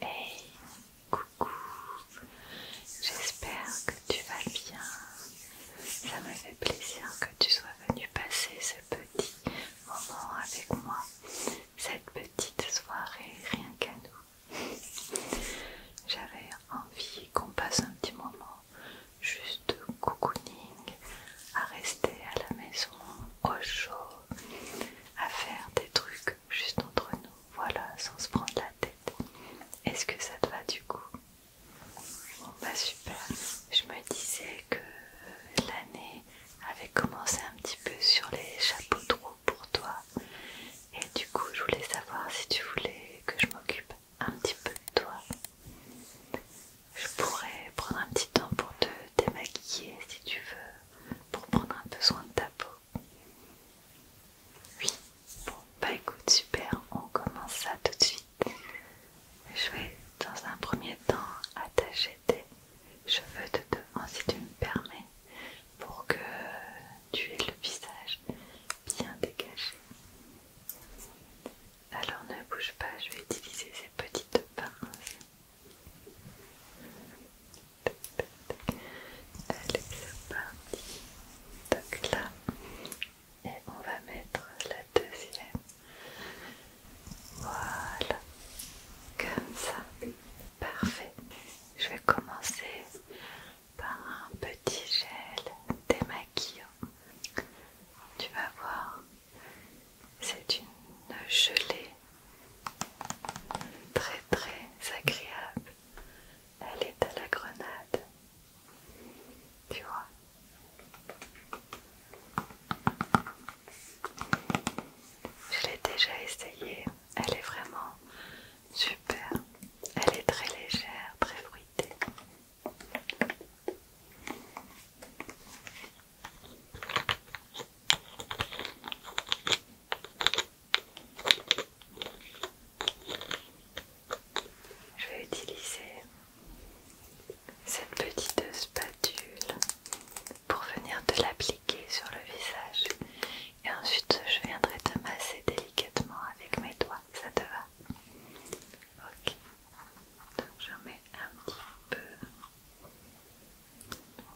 Hey, coucou, j'espère que tu vas bien. Ça me fait plaisir que tu sois venu passer ce petit moment avec moi, cette petite soirée rien qu'à nous. J'avais envie qu'on passe un petit moment juste cocooning, à rester à la maison au chaud à faire des trucs juste entre nous, voilà, sans se prendre la tête. Est-ce que ça te va du coup Bon bah super. Je me disais que euh, l'année avait commencé un petit peu sur les chapeaux de roue pour toi. Et du coup, je voulais savoir si tu voulais que je m'occupe un petit peu de toi. Je pourrais prendre un petit temps pour te démaquiller si tu veux pour prendre un peu soin de ta peau. Oui, bon, bah écoute, super, on commence ça tout de suite. Je vais dans un premier temps attacher tes cheveux de devant si tu me permets, pour que tu aies le visage bien dégagé. Alors ne bouge pas, je vais utiliser ces petites pinces Allez, c'est parti. Donc là, et on va mettre la deuxième. Voilà, comme ça. Parfait. Je vais commencer par un petit gel démaquillant. Tu vas voir, c'est une gelée très très agréable. Elle est à la grenade. Tu vois Je l'ai déjà essayé. Elle est vraiment super. Elle est très légère, très fruitée. Je vais utiliser cette petite spatule pour venir te l'appliquer sur le visage et ensuite je viendrai te masser délicatement avec mes doigts, ça te va Ok, donc j'en mets un petit peu.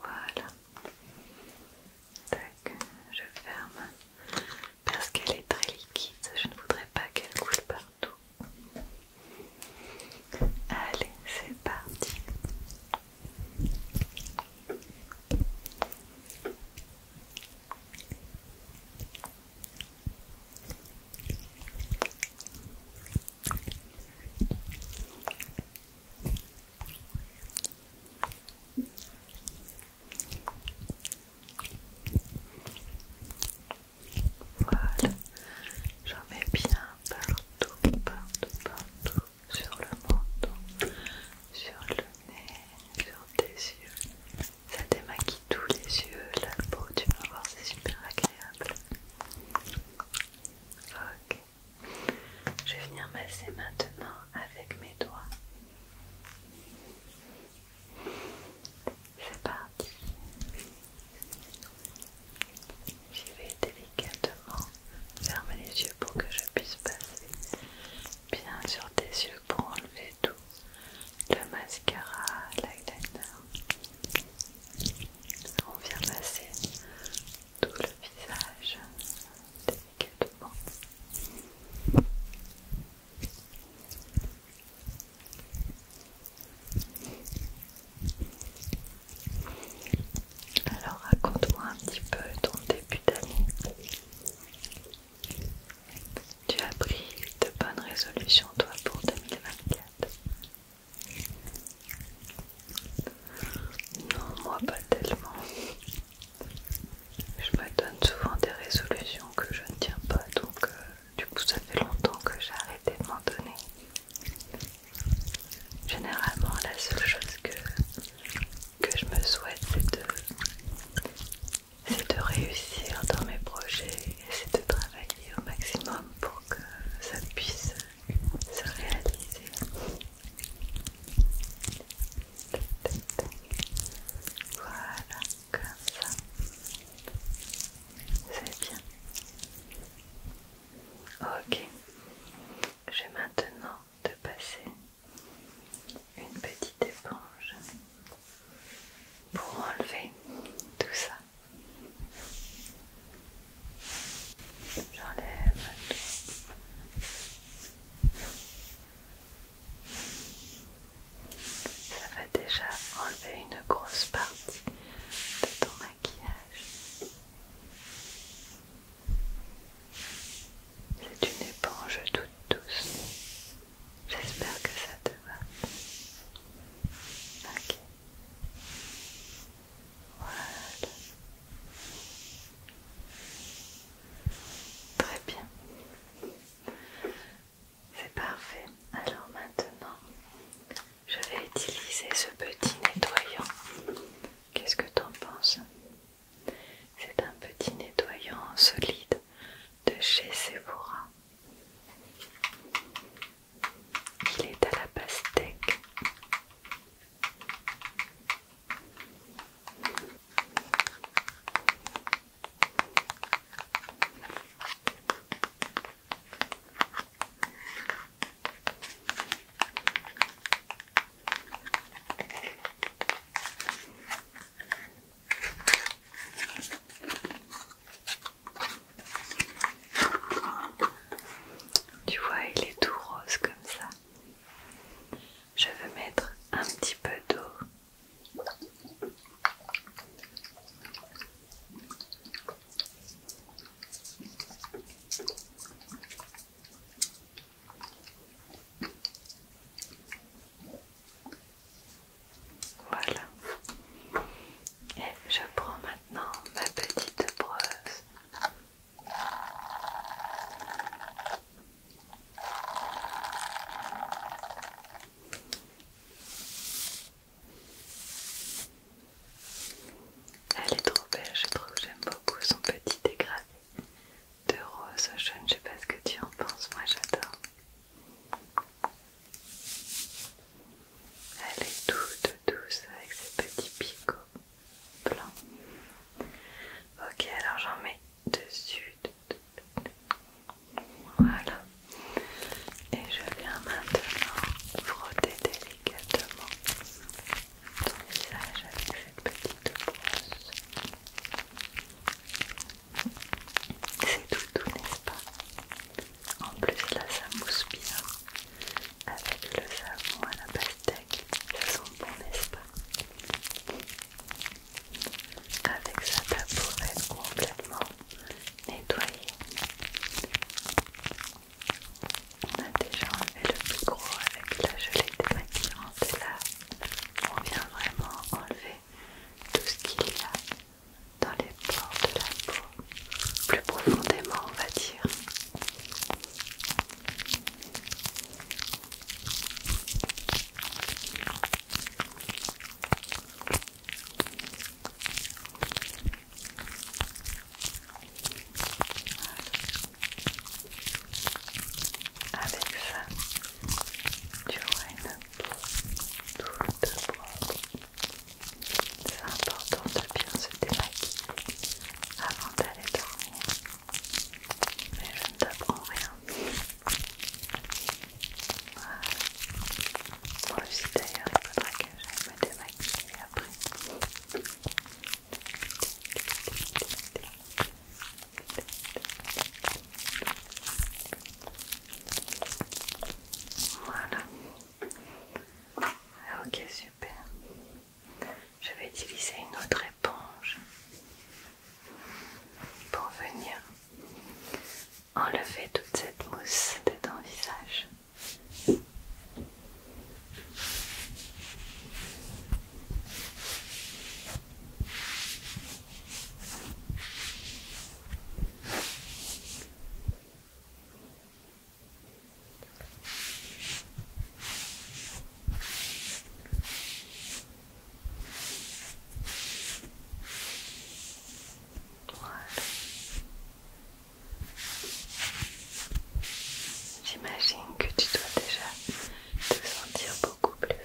Voilà. Tac, je ferme parce qu'elle est très liquide. Je ne voudrais pas qu'elle coule partout. Allez, c'est parti. Voilà, j'en mets bien partout, partout, partout, sur le menton, sur le nez, sur tes yeux. Ça démaquille tous les yeux, la peau, tu vas voir, c'est super agréable. Je vais venir masser maintenant avec mes doigts. C'est parti. J'y vais délicatement. Ferme les yeux pour que je puisse passer bien sur tes yeux pour enlever tout le mascara, l'eyeliner. On vient masser tout le visage délicatement. Alors raconte-moi un petit peu ton début d'année. Tu as pris de bonnes résolutions toi pour 2024. Non, moi pas tellement. Je me donne souvent des résolutions que je ne tiens pas, donc euh, du coup ça fait longtemps que j'ai arrêté de m'en donner. Généralement la seule chose que, que je me souhaite c'est de, de réussir dans mes projets et c'est de travailler au maximum pour que ça puisse se réaliser. Voilà, comme ça. C'est bien. Ok, je vais maintenant te passer une petite éponge pour enlever tout ça. J'enlève Ça va déjà enlever une grosse partie de ton maquillage. C'est une éponge toute douce. J'espère que ça te va. Ok. Très bien. C'est parfait. Alors maintenant, je vais utiliser ce petit nettoyant. Qu'est-ce que tu t'en penses C'est un petit nettoyant solide de chez Sephora. Il est à la pastèque. Tu vois, il est tout rose comme ça. Je veux mettre un petit peu d'eau. Voilà. Et je prends maintenant ma petite brosse elle est trop belle, je trouve j'aime beaucoup son petit dégradé de rose jaune, je sais pas ce que tu en penses, moi j'adore. Elle est toute douce avec ses petits picots. Blanc. Ok, alors j'en mets dessus. Voilà. Et je viens maintenant frotter délicatement ton visage avec cette petite brosse. C'est tout, tout n'est-ce pas En plus là ça mousse bien avec le savon à la pastèque, ça sent bon n'est-ce pas Avec ça, sa être complètement nettoyée. On a déjà enlevé le plus gros avec la gelée démaquillante et là on vient vraiment enlever tout ce qu'il y a dans les pores de la peau plus profondément, on va dire. Avec ça, tu vois une boule de bois c'est important de bien se démaquiller avant d'aller dormir. Mais je ne t'apprends rien. Voilà. Moi aussi d'ailleurs, il faudra que j'aille me démaquiller après. Voilà. Ok, super. Je vais utiliser une autre éponge pour venir enlever toute cette mousse de ton visage. J'imagine que tu dois déjà te sentir beaucoup plus frais.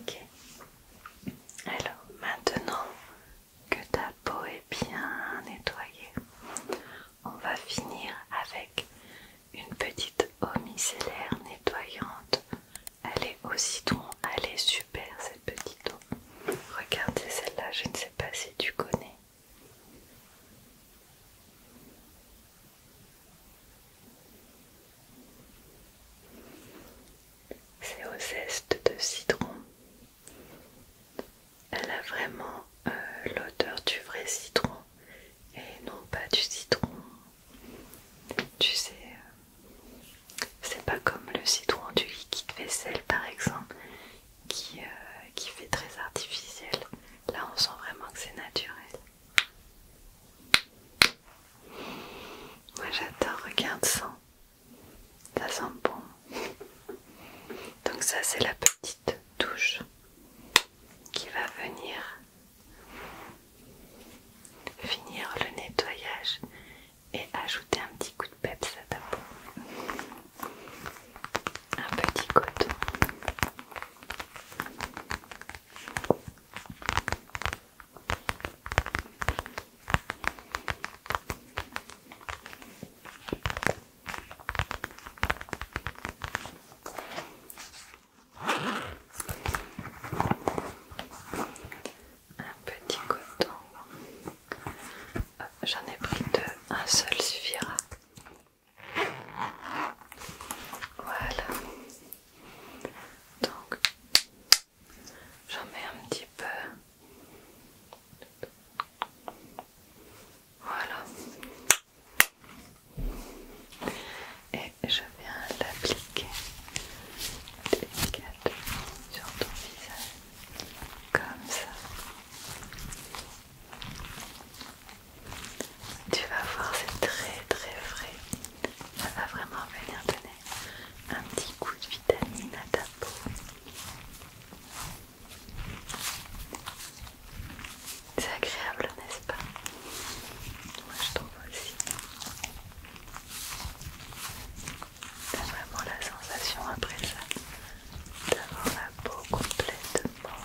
Ok. Alors maintenant que ta peau est bien nettoyée, on va finir avec une petite eau micellaire nettoyante. Elle est au citron, elle est super cette petite eau. Regardez celle-là, je ne sais pas si tu connais. C'est au zeste de citron. Elle a vraiment euh, l'odeur du vrai citron et non pas du citron. Tu sais, euh, c'est pas comme le citron du liquide vaisselle par exemple qui, euh, qui fait très artificiel. Là on sent vraiment que c'est naturel. Moi j'adore, regarde ça. Ça sent bon. Donc ça c'est la petite touche qui va venir finir le nettoyage et ajouter un petit coup de peps à ta peau. Un petit coton. Un petit coton. J'en ai pris deux, un seul suffira. Voilà. Donc, j'en mets un petit peu. Voilà. Et je viens l'appliquer délicatement sur ton visage, comme ça. Tu vas voir, c'est très très frais. Ça va vraiment venir donner un petit coup de vitamine à ta peau. C'est agréable, n'est-ce pas Moi je trouve aussi. T'as vraiment la sensation après ça d'avoir la peau complètement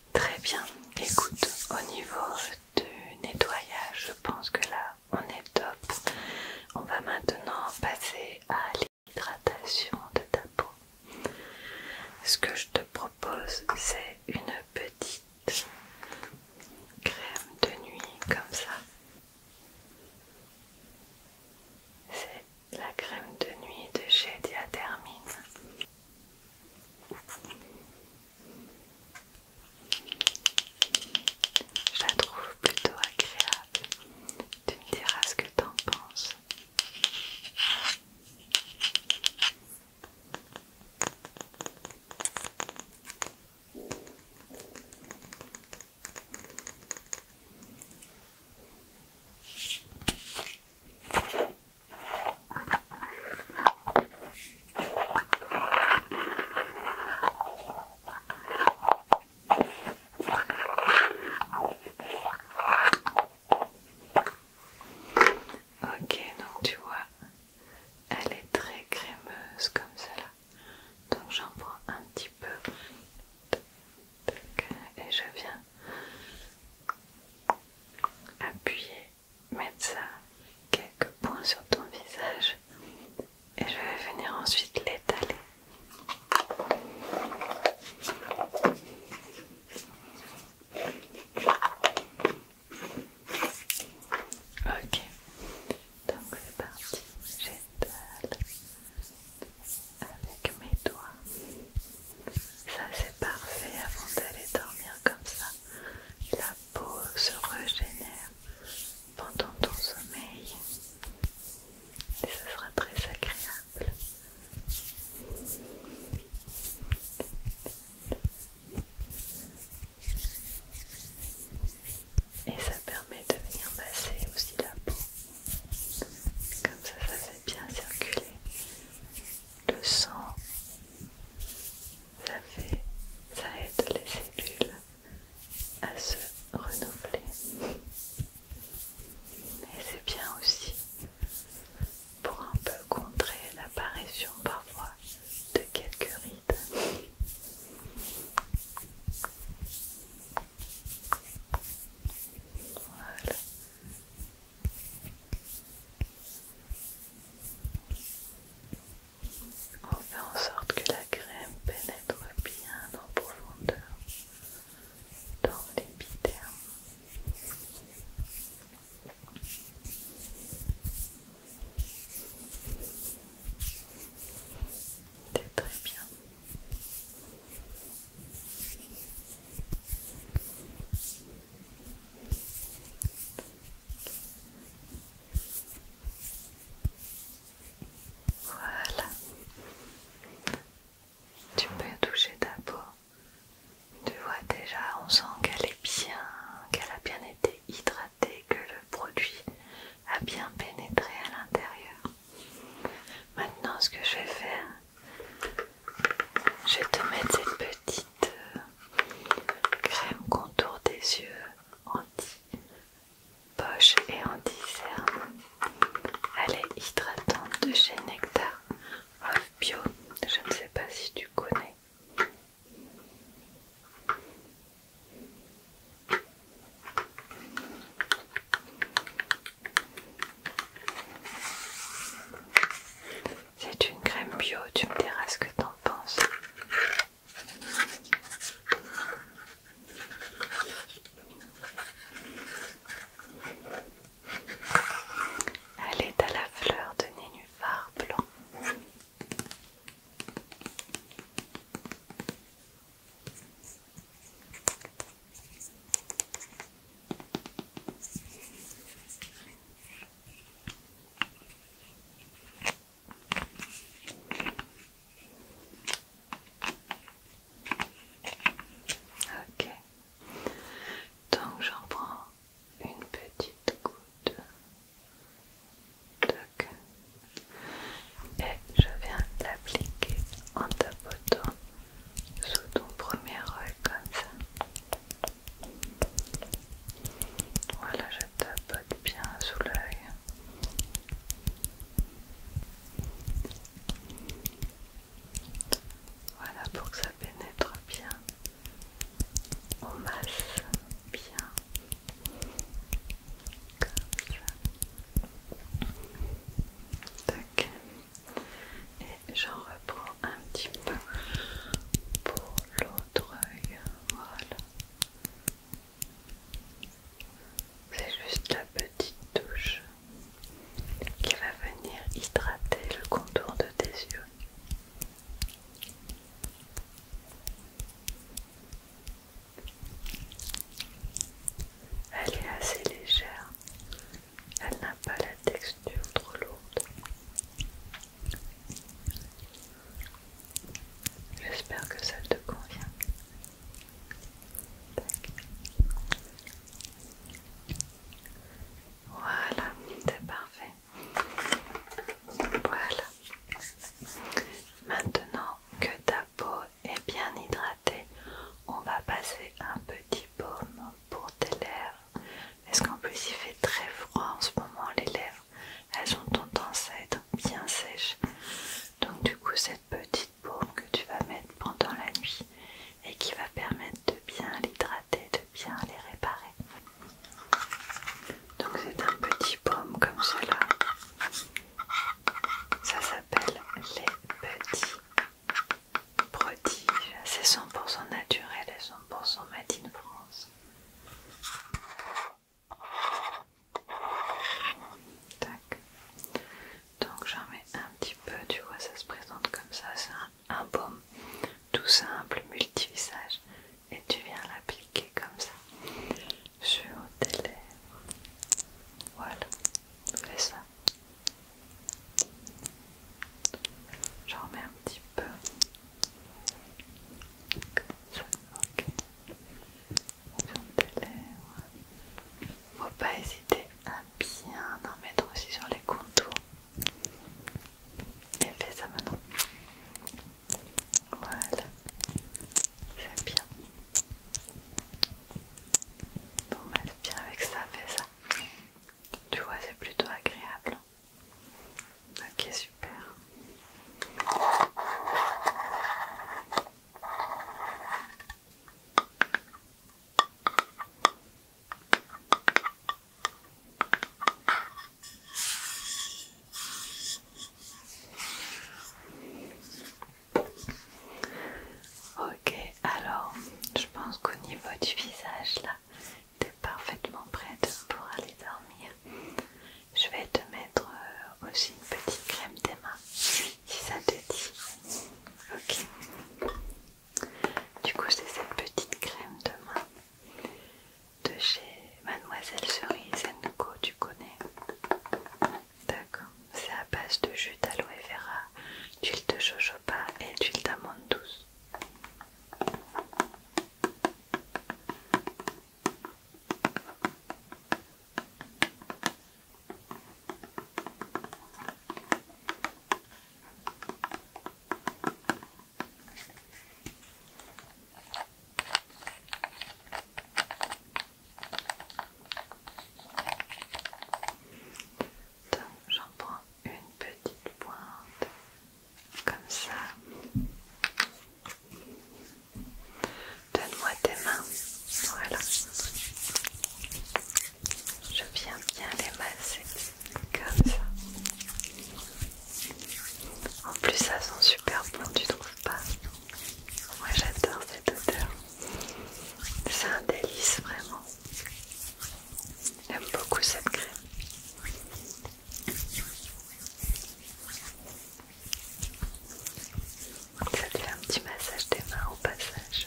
Très bien. Écoute, au niveau du nettoyage, je pense que là, on est top. On va maintenant passer à l'hydratation de ta peau. Ce que je te propose, c'est une petite crème de nuit comme ça. C'est la crème de nuit de chez Diathermine. Je la trouve plutôt agréable. Tu me diras ce que en penses. Ok, donc tu vois, elle est très crémeuse comme cela. Donc j'en prends un petit peu et je viens appuyer, mettre ça quelques points sur ton visage et je vais venir ensuite l'étaler. Ok, donc c'est parti, j'étale avec mes doigts. Ça c'est parfait avant d'aller dormir comme ça. La peau se régénère pendant ton sommeil. Et ce sera très agréable. Et ça permet de venir masser aussi la peau. Comme ça, ça fait bien circuler le sang, ça, fait, ça aide les cellules à se renouveler. Et c'est bien aussi pour un peu contrer l'apparition parfois de quelques rides. Voilà. On fait en sorte que la crème pénètre bien en profondeur dans l'épiderme. C'est très bien. Voilà. Tu peux toucher ta peau. Tu vois déjà, on sent qu'elle est bien, qu'elle a bien été hydratée, que le produit a bien pénétré à l'intérieur. Maintenant, ce que je vais faire, je vais te mettre cette petite euh, crème contour des yeux anti-poche et anti-cerne. Elle est hydratante de chez Nectar of Bio. Je ne sais pas si tu connais. C'est une crème bio, tu me diras ce que t'en penses. Elle est à la fleur de nénuphar blanc. Ok, donc j'en prends une petite goutte. queue Et je viens l'appliquer en tapotant sous ton premier œil comme ça. Voilà, je tapote bien sous l'œil. Voilà pour que ça pénètre bien. On masse bien. Comme ça. Tac et j'en reprends un petit peu pour l'autre œil. Voilà. C'est juste la petite touche qui va venir hydrater le contour de tes yeux. Elle est assez légère, elle n'a pas la texture trop lourde. J'espère que ça te convient. Voilà, c'est parfait. Voilà. Maintenant que ta peau est bien hydratée, on va passer un petit baume pour tes lèvres parce qu'en plus il fait très froid en ce moment, les lèvres elles ont tendance à être bien sèches. Donc du coup cette petite baume que tu vas mettre pendant la nuit et qui va permettre de bien l'hydrater, de bien les réparer. Donc c'est un petit baume comme cela. Ça s'appelle les petits prodige, c'est 100% naturel et 100% Made in France. Donc j'en mets un petit peu, tu vois, ça se présente comme ça, c'est un, baume tout simple, multivisage, et tu viens l'appliquer comme ça sur tes lèvres. Voilà, Fais ça. je remets un petit peu. Comme ça, ok. Sur tes lèvres. Faut pas hésiter à bien en mettre aussi sur les contours. Et fais ça maintenant. Voilà. C'est bien. Bon, bah, va bien avec ça, fais ça. Tu vois, c'est plutôt agréable. Ok, super. Ok, alors je pense qu'au niveau du visage là, t'es parfaitement prête pour aller dormir. Je vais te mettre euh, aussi une petite crème des mains si ça te dit. Ok. Du coup, c'est cette petite crème de main de chez Mademoiselle Cerise Tu connais D'accord. C'est à base de jus d'aloe vera d'huile de pas et tu' d'amande douce. J'en prends une petite pointe comme ça. Donne-moi tes mains. Voilà. Je viens bien les masser comme ça. En plus, ça sent super bon, tu trouves pas Moi j'adore cette odeur. C'est un délice vraiment. J'aime beaucoup cette crème. Ça te fait un petit massage des mains au passage.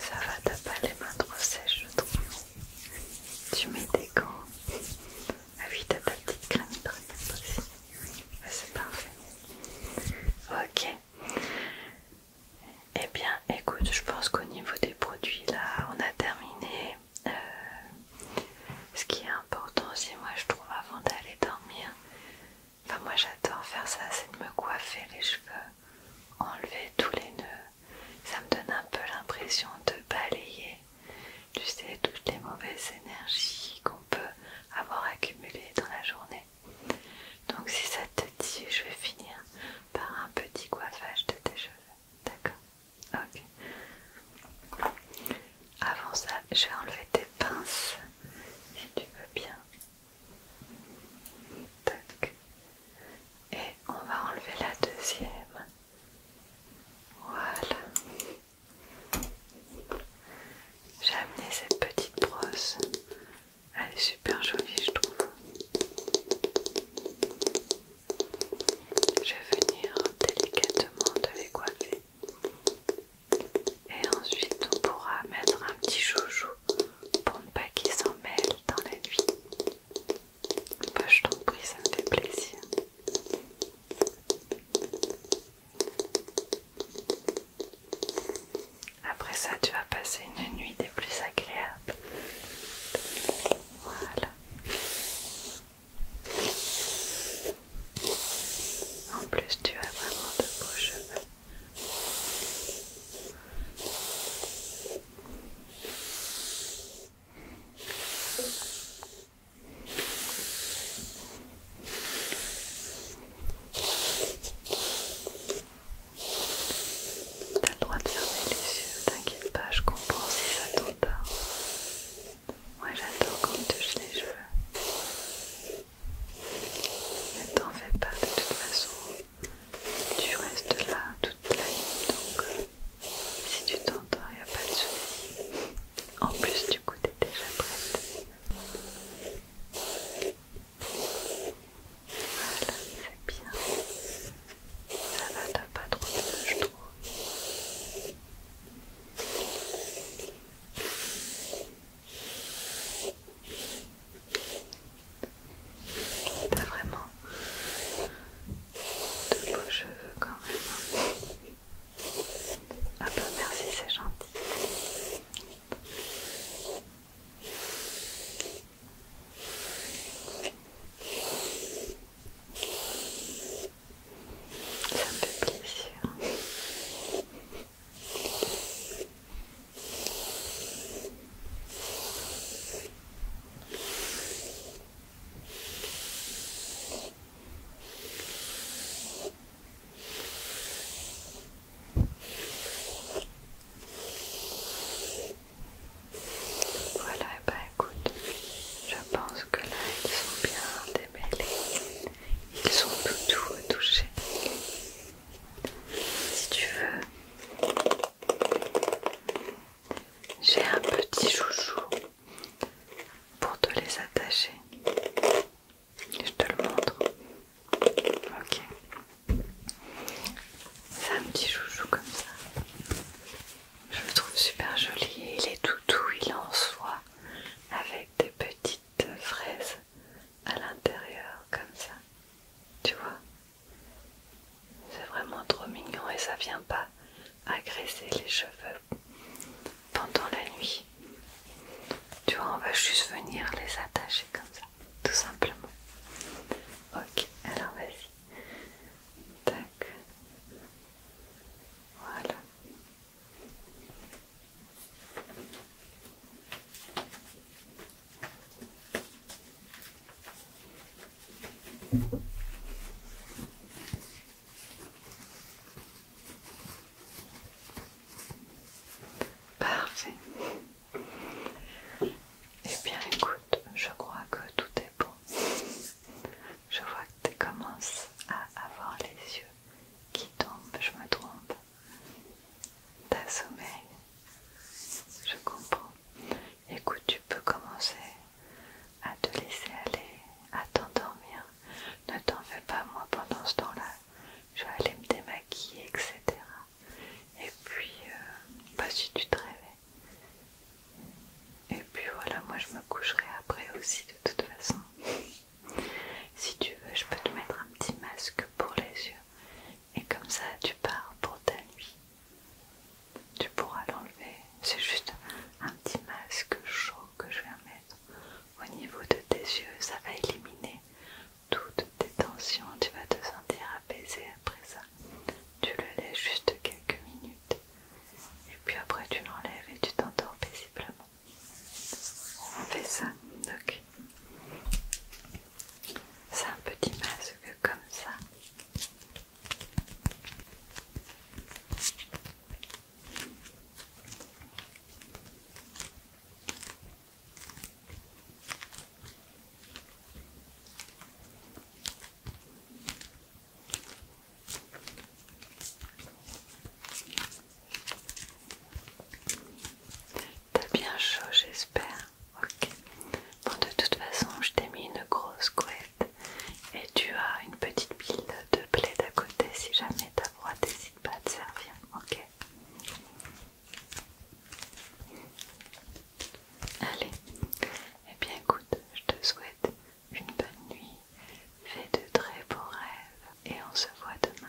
Ça va, t'as pas les mains trop sèches, je trouve. Tu mets des gants. Ah oui, t'as ta petite crème hydratante aussi. Ah, c'est parfait. Ok. Eh bien, écoute, je pense qu'au niveau des produits, là, on a terminé. Euh, ce qui est important aussi, moi, je trouve, avant d'aller dormir, Enfin, moi j'adore faire ça, c'est de me coiffer les cheveux, enlever tous les nœuds. Ça me donne un peu l'impression de balayer, tu toutes les mauvaises énergies qu'on peut avoir accumulées dans la journée. Donc, si ça te dit, je vais finir par un petit coiffage de tes cheveux. D'accord Ok. Avant ça, je vais enlever tes pinces, Et tu veux bien. Et on va enlever la deuxième. Voilà. J'ai amené cette petite brosse. Elle est super jolie, je trouve. Je vais venir délicatement te les Et ensuite, on pourra mettre un petit chouchou pour ne pas qu'ils s'en mêlent dans la nuit. Bah, je t'en prie, ça me fait plaisir. Après ça, tu vas passer une nuit des plus agréables. Voilà. En plus, tu as vraiment de beaux cheveux. T'as le droit de fermer les yeux, t'inquiète pas, je comprends si ça ou pas. Moi j'adore quand tu touches les cheveux. Ne t'en fais pas de toute façon. Tu restes là toute la nuit donc si tu t'entends, il n'y a pas de soucis. En plus, du coup, t'es déjà prête. Voilà, c'est bien. Ça va, t'as pas trop de je trouve. T'as vraiment de beaux cheveux quand même. Hein. Ah bah merci, c'est gentil. Ça me fait plaisir. Voilà, bah écoute, je pense que là ils sont bien démêlés, ils sont tout touchés si tu veux. J'ai un petit chouchou pour te les attacher. Je te le montre. Ok. C'est un petit chouchou comme ça. Je le trouve super joli. Il est tout doux, il est en soie avec des petites fraises à l'intérieur comme ça. Tu vois C'est vraiment trop mignon et ça vient pas agresser les cheveux pendant la nuit. Tu vois, on va juste venir les attacher comme ça, tout simplement. Ok, alors vas-y. Tac. Voilà. Parfait. Eh bien écoute, je crois que tout est bon. Je vois que tu commences à avoir les yeux qui tombent, je me trompe ta sommeil. Je comprends. Écoute, tu peux commencer à te laisser aller, à t'endormir. Ne t'en fais pas, moi pendant ce temps-là, je vais aller me démaquiller, etc. Et puis, pas euh, bah, si tu te réveilles. Et puis voilà, moi je me coucherai après aussi de toute façon. Si tu veux, je peux te mettre un petit masque pour les yeux. Et comme ça, tu pars pour ta nuit. Tu pourras l'enlever. C'est juste un petit masque chaud que je vais mettre au niveau de tes yeux. Ça va éliminer toutes tes tensions. Tu vas te sentir apaisé après ça. Tu le laisses juste quelques minutes. Et puis après, tu l'enlèves et tu t'endors paisiblement. On fait ça, donc C'est un petit masque comme ça. T'as bien chaud, j'espère. Ok. Bon, de toute façon, je t'ai mis une grosse couette et tu as une petite pile de plaid à côté si jamais ta voix n'hésite pas à te servir. Ok. Allez. Eh bien, écoute, je te souhaite une bonne nuit. Fais de très beaux rêves et on se voit demain